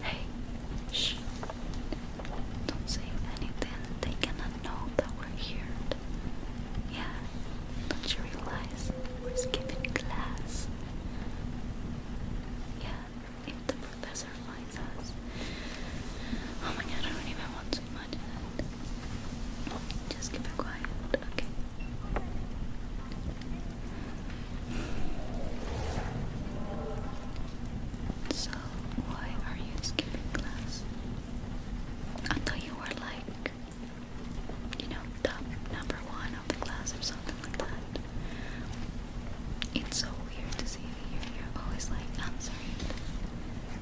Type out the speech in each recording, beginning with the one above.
Hey, shh. Don't say anything. They cannot know that we're here. Yeah, do you realize we're skipping class? Yeah, if the professor finds us. Oh my god, I don't even want to imagine it. Just keep it quiet, okay? So, why are you skipping class? I you were like, you know, top number one of the class or something like that. It's so weird to see you. You're always like answering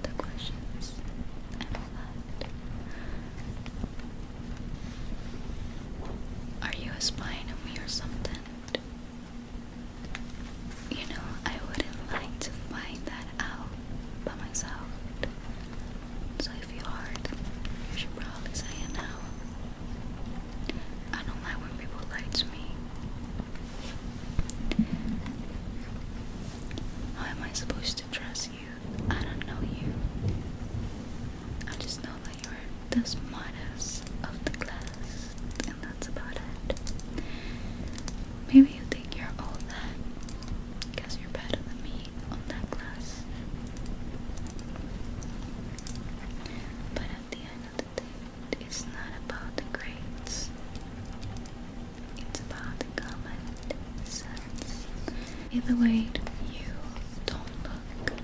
the questions and all that. Are you a spy on me or something? You know, I wouldn't like to find that out by myself. So if you hard, you should probably say it now. I don't like when people lie to me. How am I supposed to trust you? I don't know you. I just know that you're the smartest of the class and that's about it. Maybe you think you're all that because you're better than me on that class. But at the end of the day, it's not about the grades. It's about the common sense. Either way, you don't look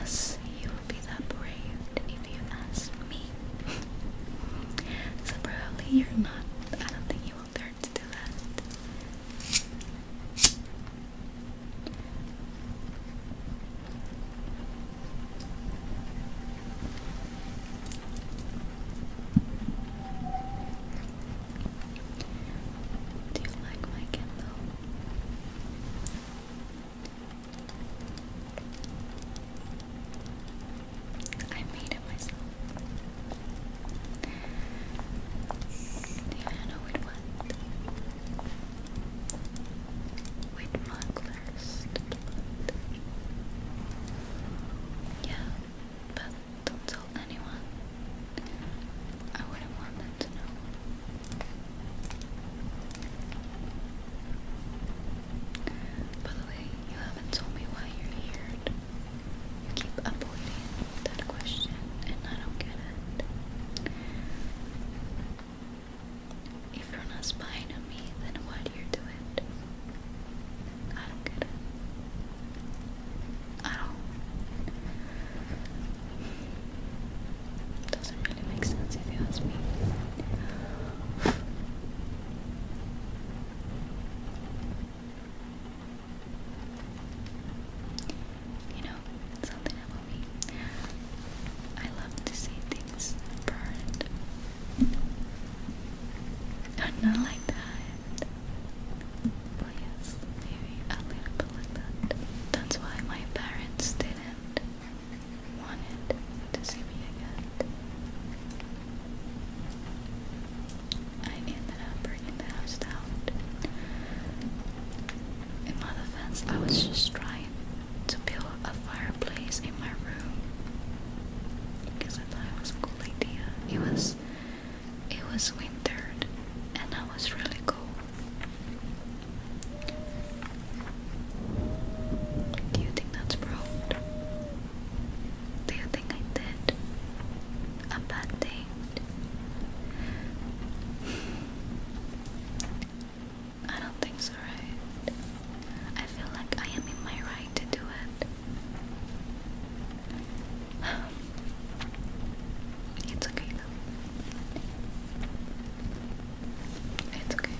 us. You will be that brave if you ask me. so you're not. I don't think you will learn to do that. Do you like my candle? I made it myself. Diana would what? With mugglers. Yeah, but don't tell anyone. I wouldn't want them to know. By the way, you haven't told me why you're here. You keep avoiding that question, and I don't get it. If you're not spying on me, then why do you do I don't get it. I don't. Doesn't kind makes sense if you ask me. You know, something about me. I love to see things burned. not like that. But yes, maybe a little bit like that. That's why my parents didn't wanted to see me again. I ended up breaking the house down. In my defense, I was just trying to build a fireplace in my room because I thought it was a cool idea. It was, it was wintered, and I was really cold. Do you think that's proud? Do you think I did a bad thing? I don't think so, right? I feel like I am in my right to do it. It's okay though. It's okay.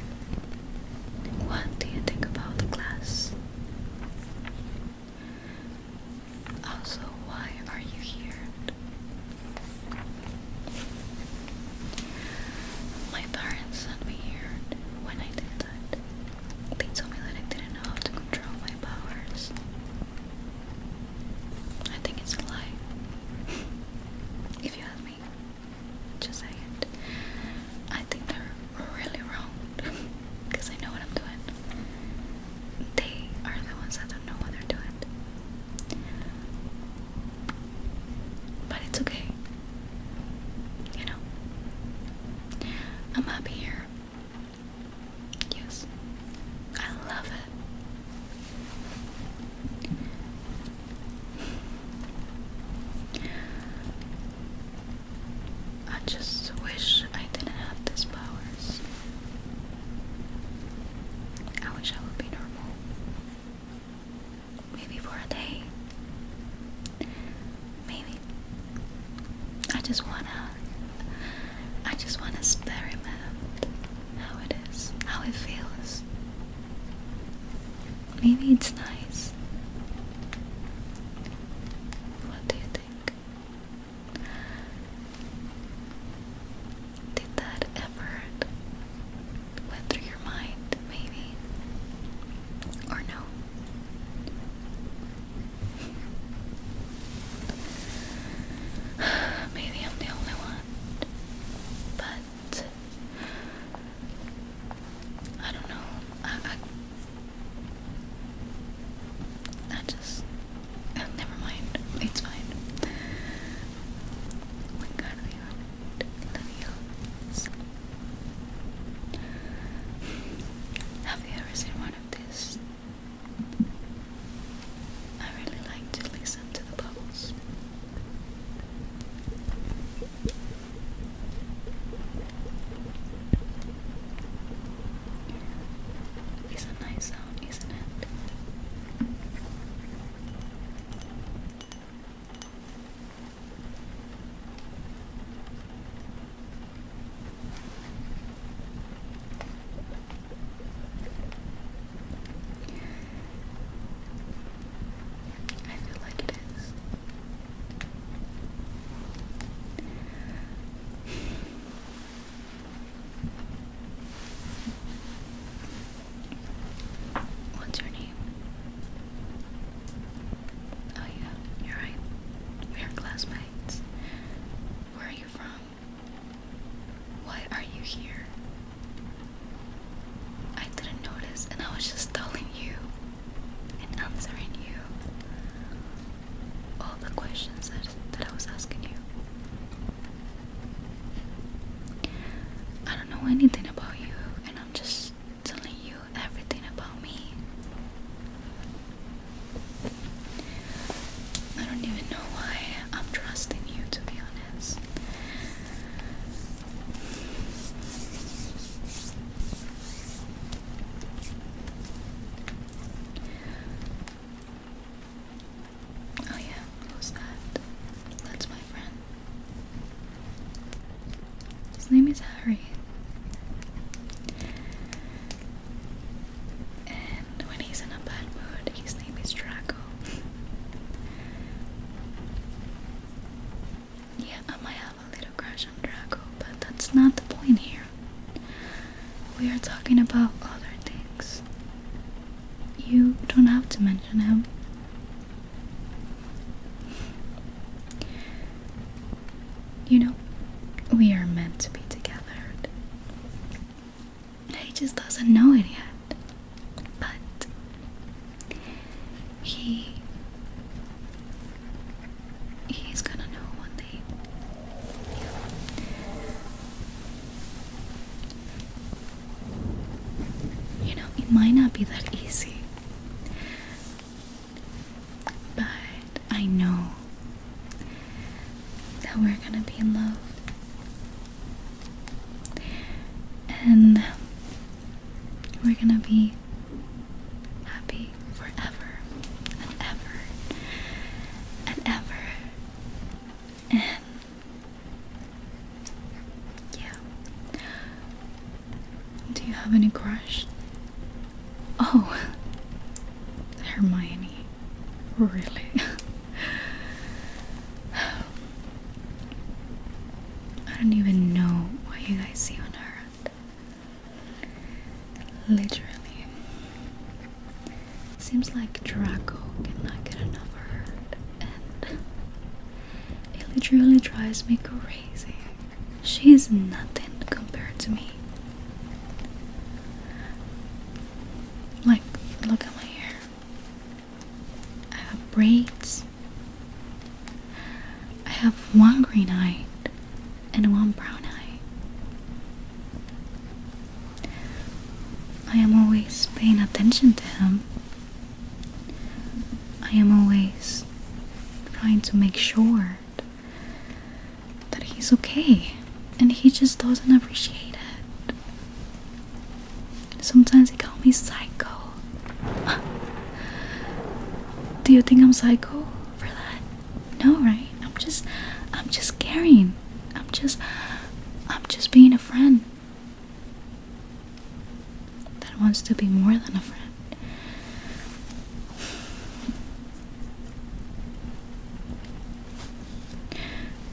What do you think about the class? Also, why are you here? My parents sent me here when I did that. They told me that I didn't know how to control my powers. I think it's a lie. if you ask me. Just say I think they're really wrong because I know what I'm doing. They are the ones that don't know what they're doing. But it's okay. You know, I'm happy here. Yes, I love it. I just wish I didn't have these powers. I wish I would be normal. Maybe for a day. Maybe. I just wanna. I just wanna experiment how it is, how it feels Maybe it's nice. What do you think? Did that ever went through your mind, maybe? Or no? Maybe I'm the only one. But I don't know. I, I, just oh, never mind. It's fine. We gotta be honest. Have you ever seen one of these? I really like to listen to the bubbles. It's a nice sound, isn't it? I feel like it is. What's your name? Oh yeah, you're right. We are classmates. Where are you from? Why are you here? I didn't notice, and I was just telling you and answering you all the questions that, that I was asking you. I don't know anything about you, and I'm just telling you everything about me. I don't even know why I'm trusting you, to be honest. Oh yeah, who's that? That's my friend. His name is Harry. And when he's in a bad mood, his name is Draco. Yeah, I might have a little crush on Draco, but that's not the point here. We are talking about other things. You don't have to mention him. You know, we are meant to be together. He just doesn't know it yet but he he's gonna know one day. You know, it might not be that easy. But I know that we're gonna be in love. And we're gonna be happy forever and ever and ever. And yeah. Do you have any crush? Oh, Hermione. Really? I don't even know what you guys see on her. Literally. Seems like Draco cannot get enough of her. And it literally drives me crazy. She's nothing compared to me. Like, look at my hair. I have braids. I have one green eye and one brown eye. I am always paying attention to him. I am always trying to make sure that he's okay, and he just doesn't appreciate it. Sometimes they call me psycho. Do you think I'm psycho for that? No, right? I'm just I'm just caring. I'm just I'm just being a friend that wants to be more than a friend.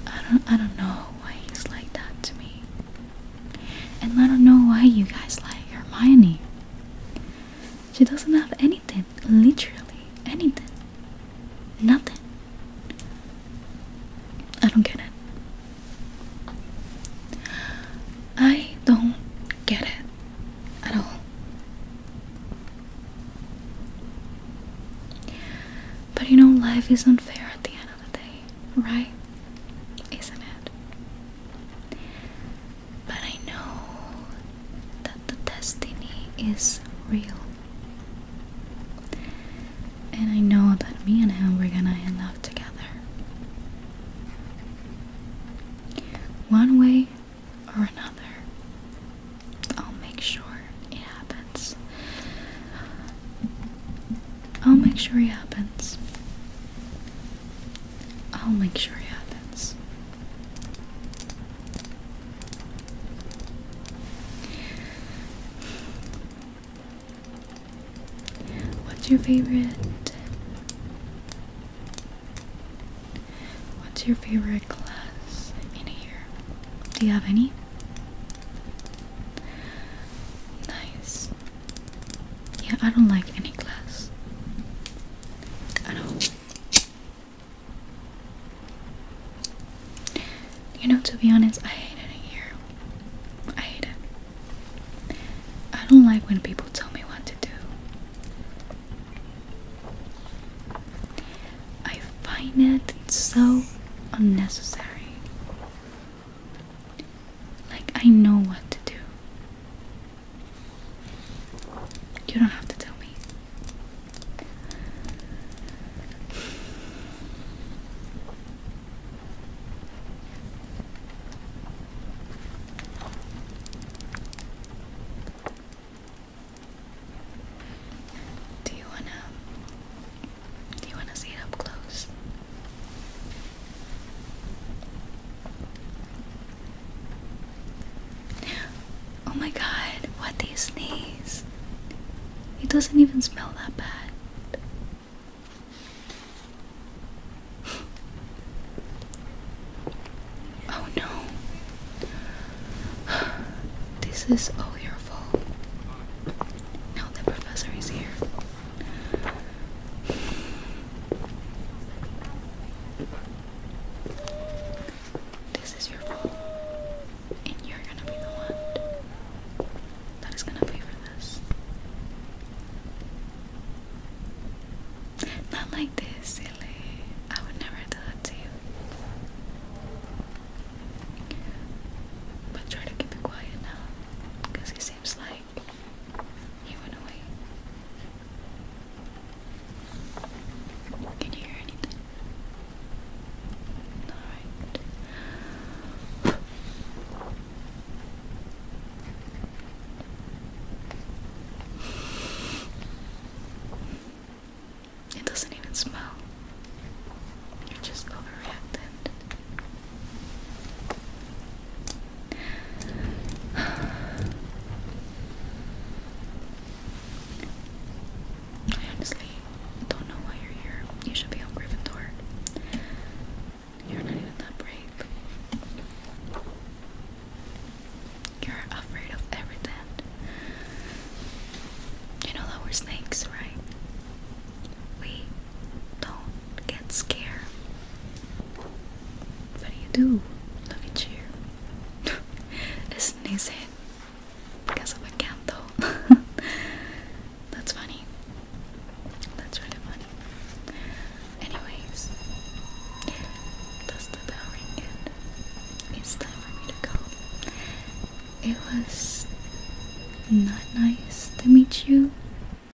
I don't I don't know why he's like that to me. And I don't know why you guys like Hermione. She doesn't have anything, literally anything. Nothing. I don't get it. I don't get it at all. But you know, life is unfair at the end of the day right? Isn't it? But I know that the destiny is real. And I know that me and him we're gonna end up together. One way or another, I'll make sure it happens. I'll make sure it happens. I'll make sure it happens. What's your favorite? What's your favorite class in here? Do you have any? Nice. Yeah, I don't like any glass at all. You know, to be honest, I hate it here. I hate it. I don't like when people tell me what to do. I find it so unnecessary. Like, I know what to do. You don't have to tell me. Do you wanna do you wanna see it up close? Oh my god, what do you sneeze? It doesn't even smell that bad. oh no. this is all your fault. Now the professor is here. This is your fault, and you're gonna be the one that is gonna pay for this. Not like this, silly. I would never do that to you. But try to keep it quiet now, because seems like he went away. Can you hear anything? Alright. It doesn't even smell. You're just overreacted. I honestly don't know why you're here. You should be on Gryffindor. You're not even that brave. You're afraid of everything. You know that we're snakes, right? We don't get scared. What you do? Look at you. Sneeze it because of a candle. That's funny. That's really funny. Anyways, does the bell ring yet? It's time for me to go. It was not nice to meet you.